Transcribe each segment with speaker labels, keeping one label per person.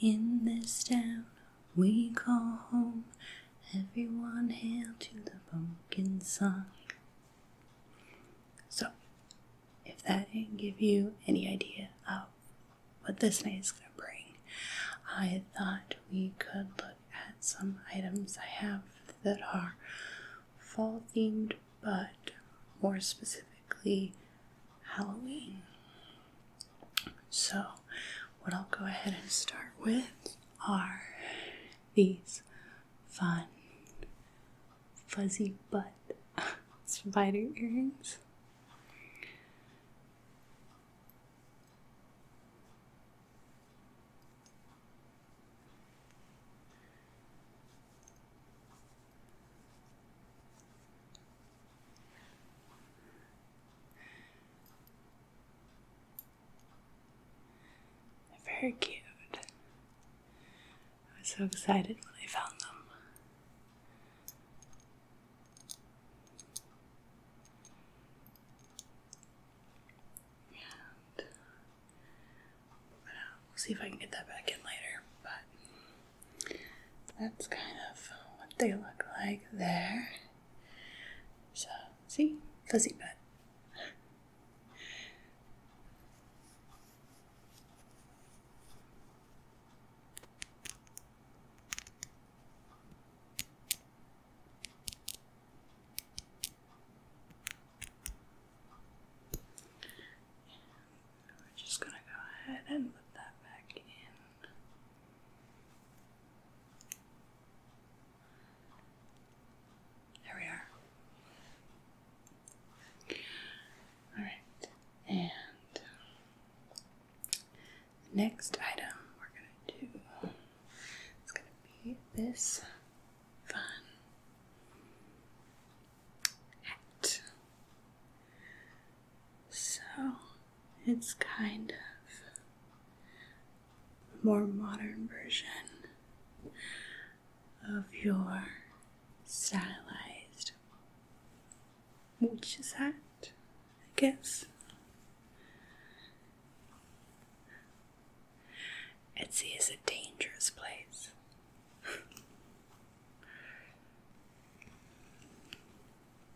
Speaker 1: In this town we call home, everyone hail to the pumpkin song. So, if that didn't give you any idea of what this night is going to bring, I thought we could look at some items I have that are fall themed, but more specifically, Halloween. So, what I'll go ahead and start with are these fun fuzzy butt spider earrings. They're very cute. I was so excited when I found them. And, but, uh, we'll see if I can get that back in later, but that's kind of what they look like there. So, see? Fuzzy butt. We're just going to go ahead and put that back in. There we are. All right, and the um, next item we're gonna do is gonna be this fun hat. So it's kind of a more modern version of your stylized which is hat, I guess. Etsy is a dangerous place.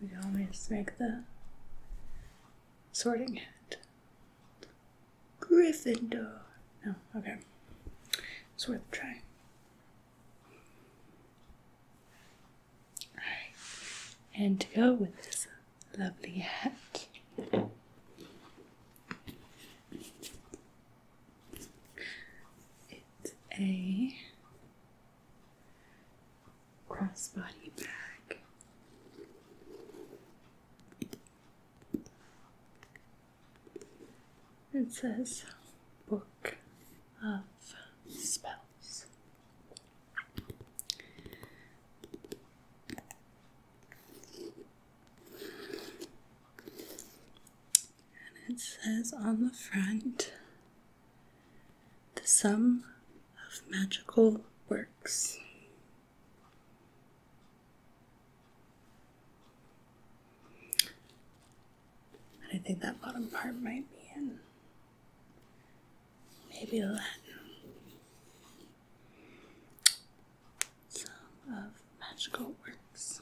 Speaker 1: We can always make the sorting hat Gryffindor. No, okay. It's worth a try. And to go with this lovely hat. It's a crossbody bag it says Book of Spells. And it says on the front the sum of magical works. I think that bottom part might be in maybe Latin. Some of magical works.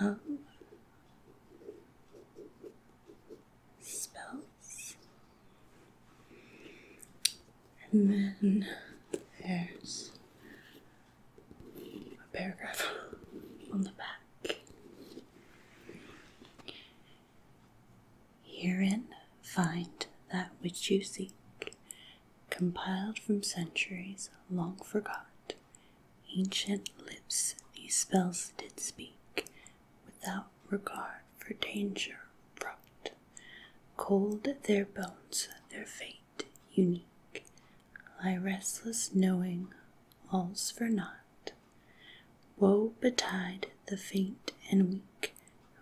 Speaker 1: Um, spells. And then there's a paragraph on the back. Herein find that which you seek, compiled from centuries long forgot, ancient lips these spells did speak, without regard for danger abrupt. Cold their bones, their fate unique, lie restless, knowing all's for naught. Woe betide the faint and weak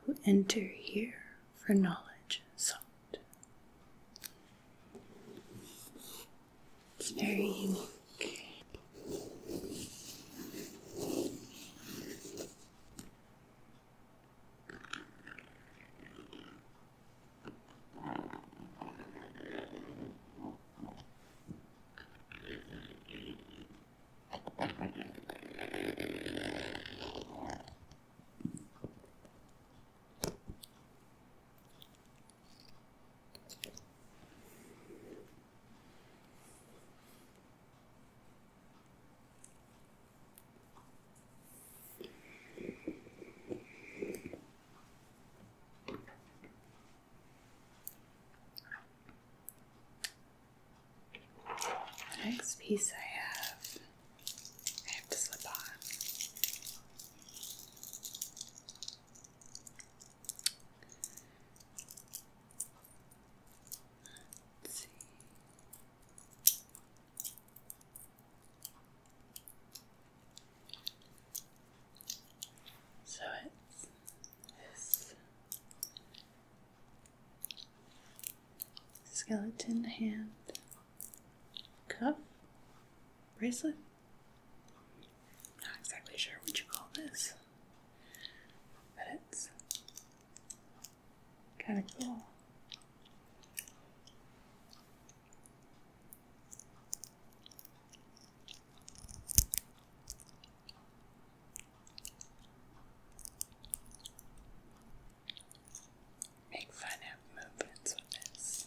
Speaker 1: who enter here for knowledge sought. It's very unique. The next piece I have, I have to slip on. So it's skeleton hand cuff bracelet. Not exactly sure what you call this, but it's kind of cool. Make fun of movements with this.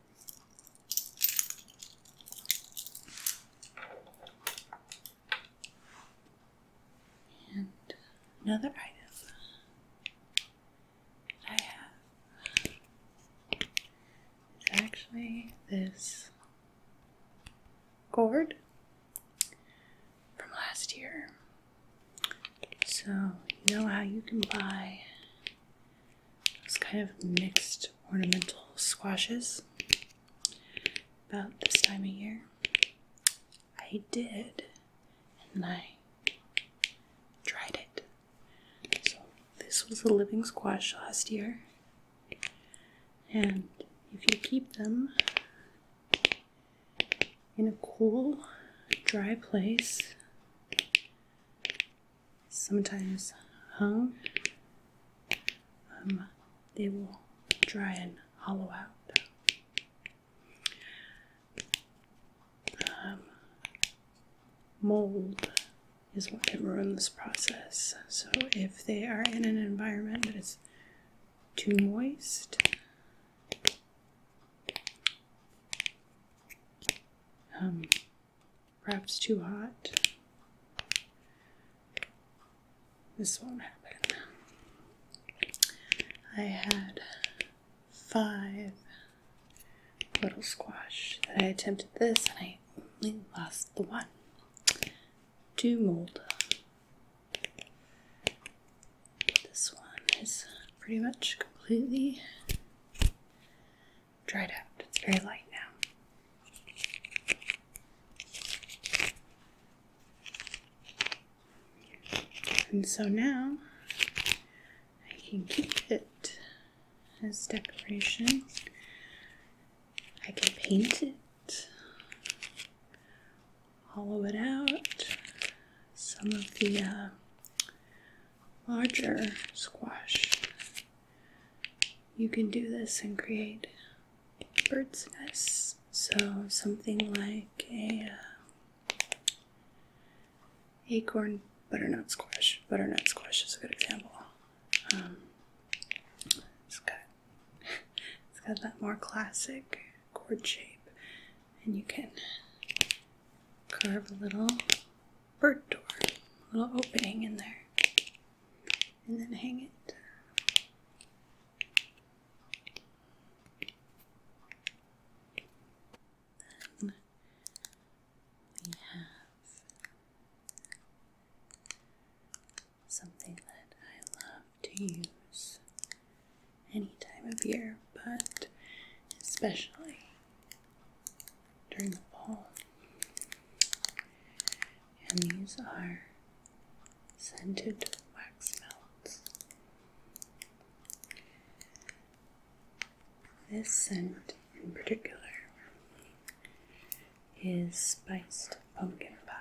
Speaker 1: And another item I have is actually this cord from last year. So, you know how you can buy it's kind of mixed ornamental squashes about this time of year. I did, and I tried it. So, this was a living squash last year, and if you keep them in a cool, dry place, sometimes hung, um, they will dry and hollow out. Um, mold is what can ruin this process. So if they are in an environment that is too moist, um, perhaps too hot. This won't happen. I had five little squash that I attempted this and I only lost the one. to mold. This one is pretty much completely dried out. It's very light now. And so now I can keep it as decoration. I can paint it, hollow it out. Some of the uh, larger squash. You can do this and create bird's nests. So something like a uh, acorn butternut squash. Butternut squash is a good example. Um, it's got it's got that more classic chord shape, and you can carve a little bird door, little opening in there, and then hang it. Then we have something that I love to use any time of year, but especially during the fall. And these are scented wax melons. This scent in particular is spiced pumpkin pie.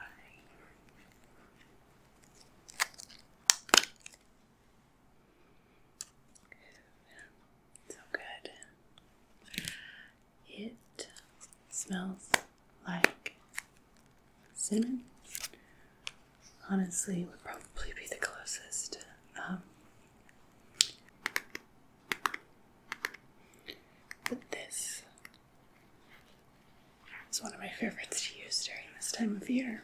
Speaker 1: So good. It smells like cinnamon. Honestly, would probably be the closest. Um, but this is one of my favorites to use during this time of year.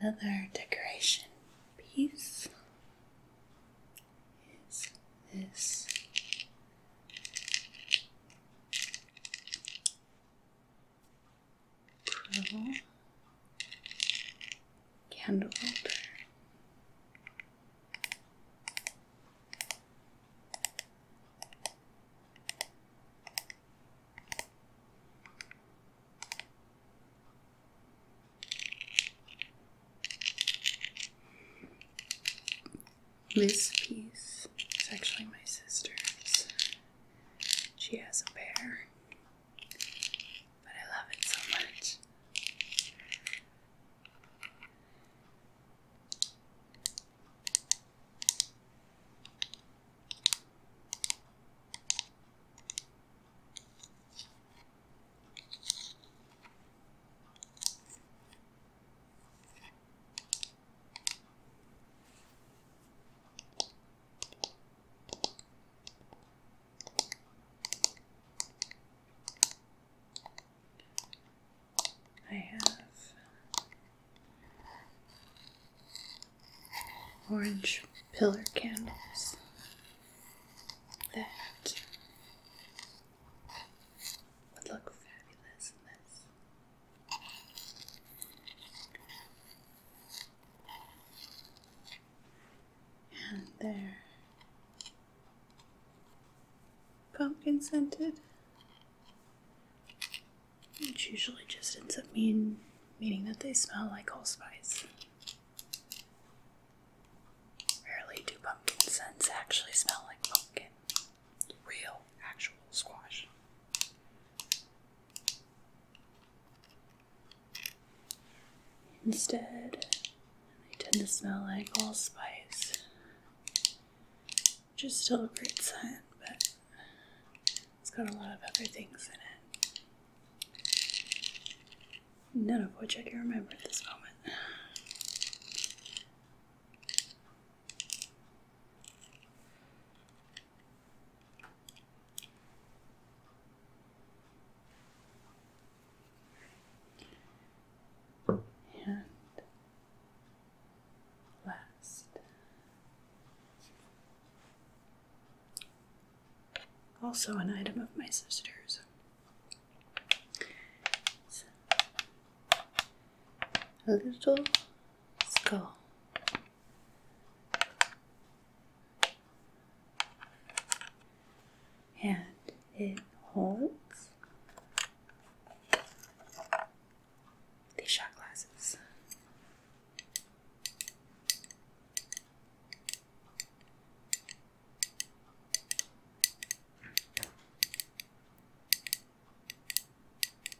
Speaker 1: And another decoration piece is this Purple. This piece is actually my sister's. She has a bear, but I love it so much. I have orange pillar candles that would look fabulous in this. And they pumpkin scented. Which usually just ends up mean meaning that they smell like allspice. Rarely do pumpkin scents actually smell like pumpkin. Real, actual squash. Instead, they tend to smell like allspice, which is still a great scent, but it's got a lot of other things in it, none of which I can remember at this moment. And last, also an item of my sister's, a little skull. And it holds these shot glasses.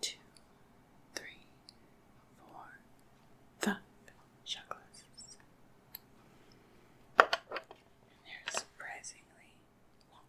Speaker 1: two, three, four, five shot glasses. And they're surprisingly long.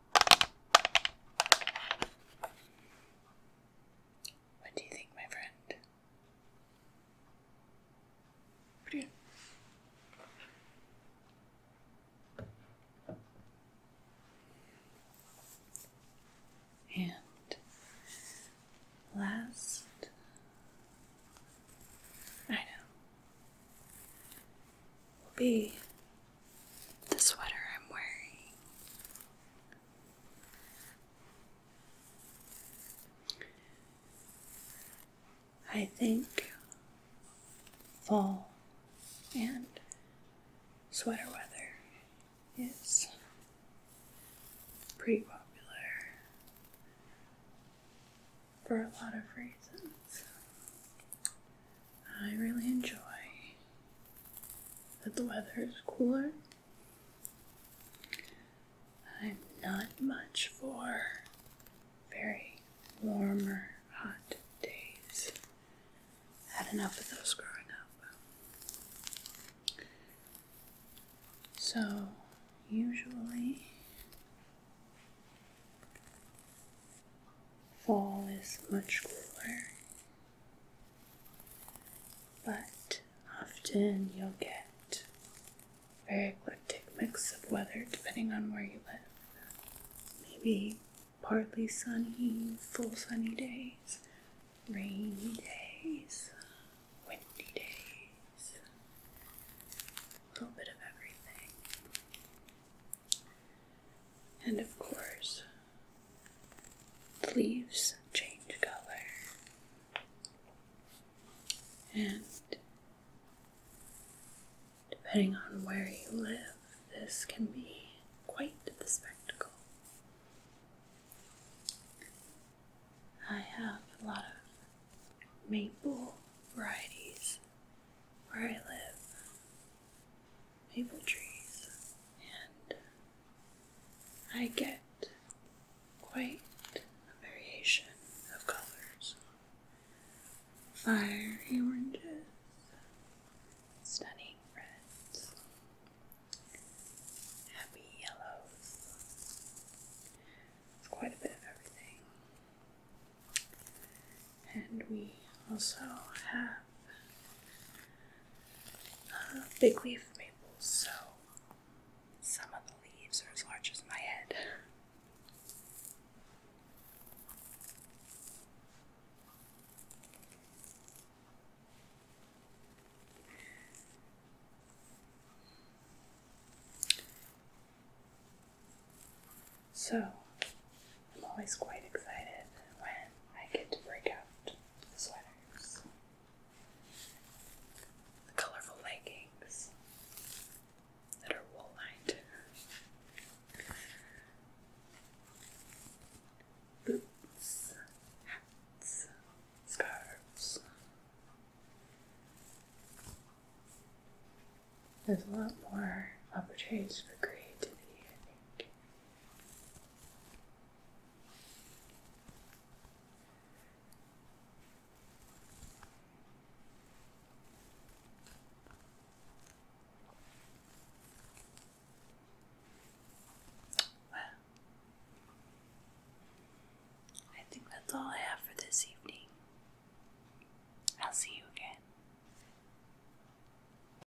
Speaker 1: What do you think, my friend? Brilliant. And last I know will be the sweater I'm wearing. I think fall and sweater weather is pretty popular for a lot of reasons. I really enjoy that the weather is cooler. I'm not much for very warmer, hot days. I had enough of those growing up. So, usually, fall is much cooler, but often you'll get very eclectic mix of weather depending on where you live. Maybe partly sunny, full sunny days, rainy days, windy days, a little bit of everything. And of course, the leaves change color. And depending on where you live, this can be quite the spectacle. I have a lot of maple varieties where I live, maple trees, and I get quite a variation of colors fiery oranges, stunning reds, happy yellows. It's quite a bit of everything. And we also have big leaf maples, so some of the leaves are as large as my head. So, I'm always quite excited when I get to break out the sweaters, colorful leggings that are wool lined. Boots, hats, scarves. There's a lot more opportunities for creativity, I think, I think that's all I have for this evening. I'll see you again.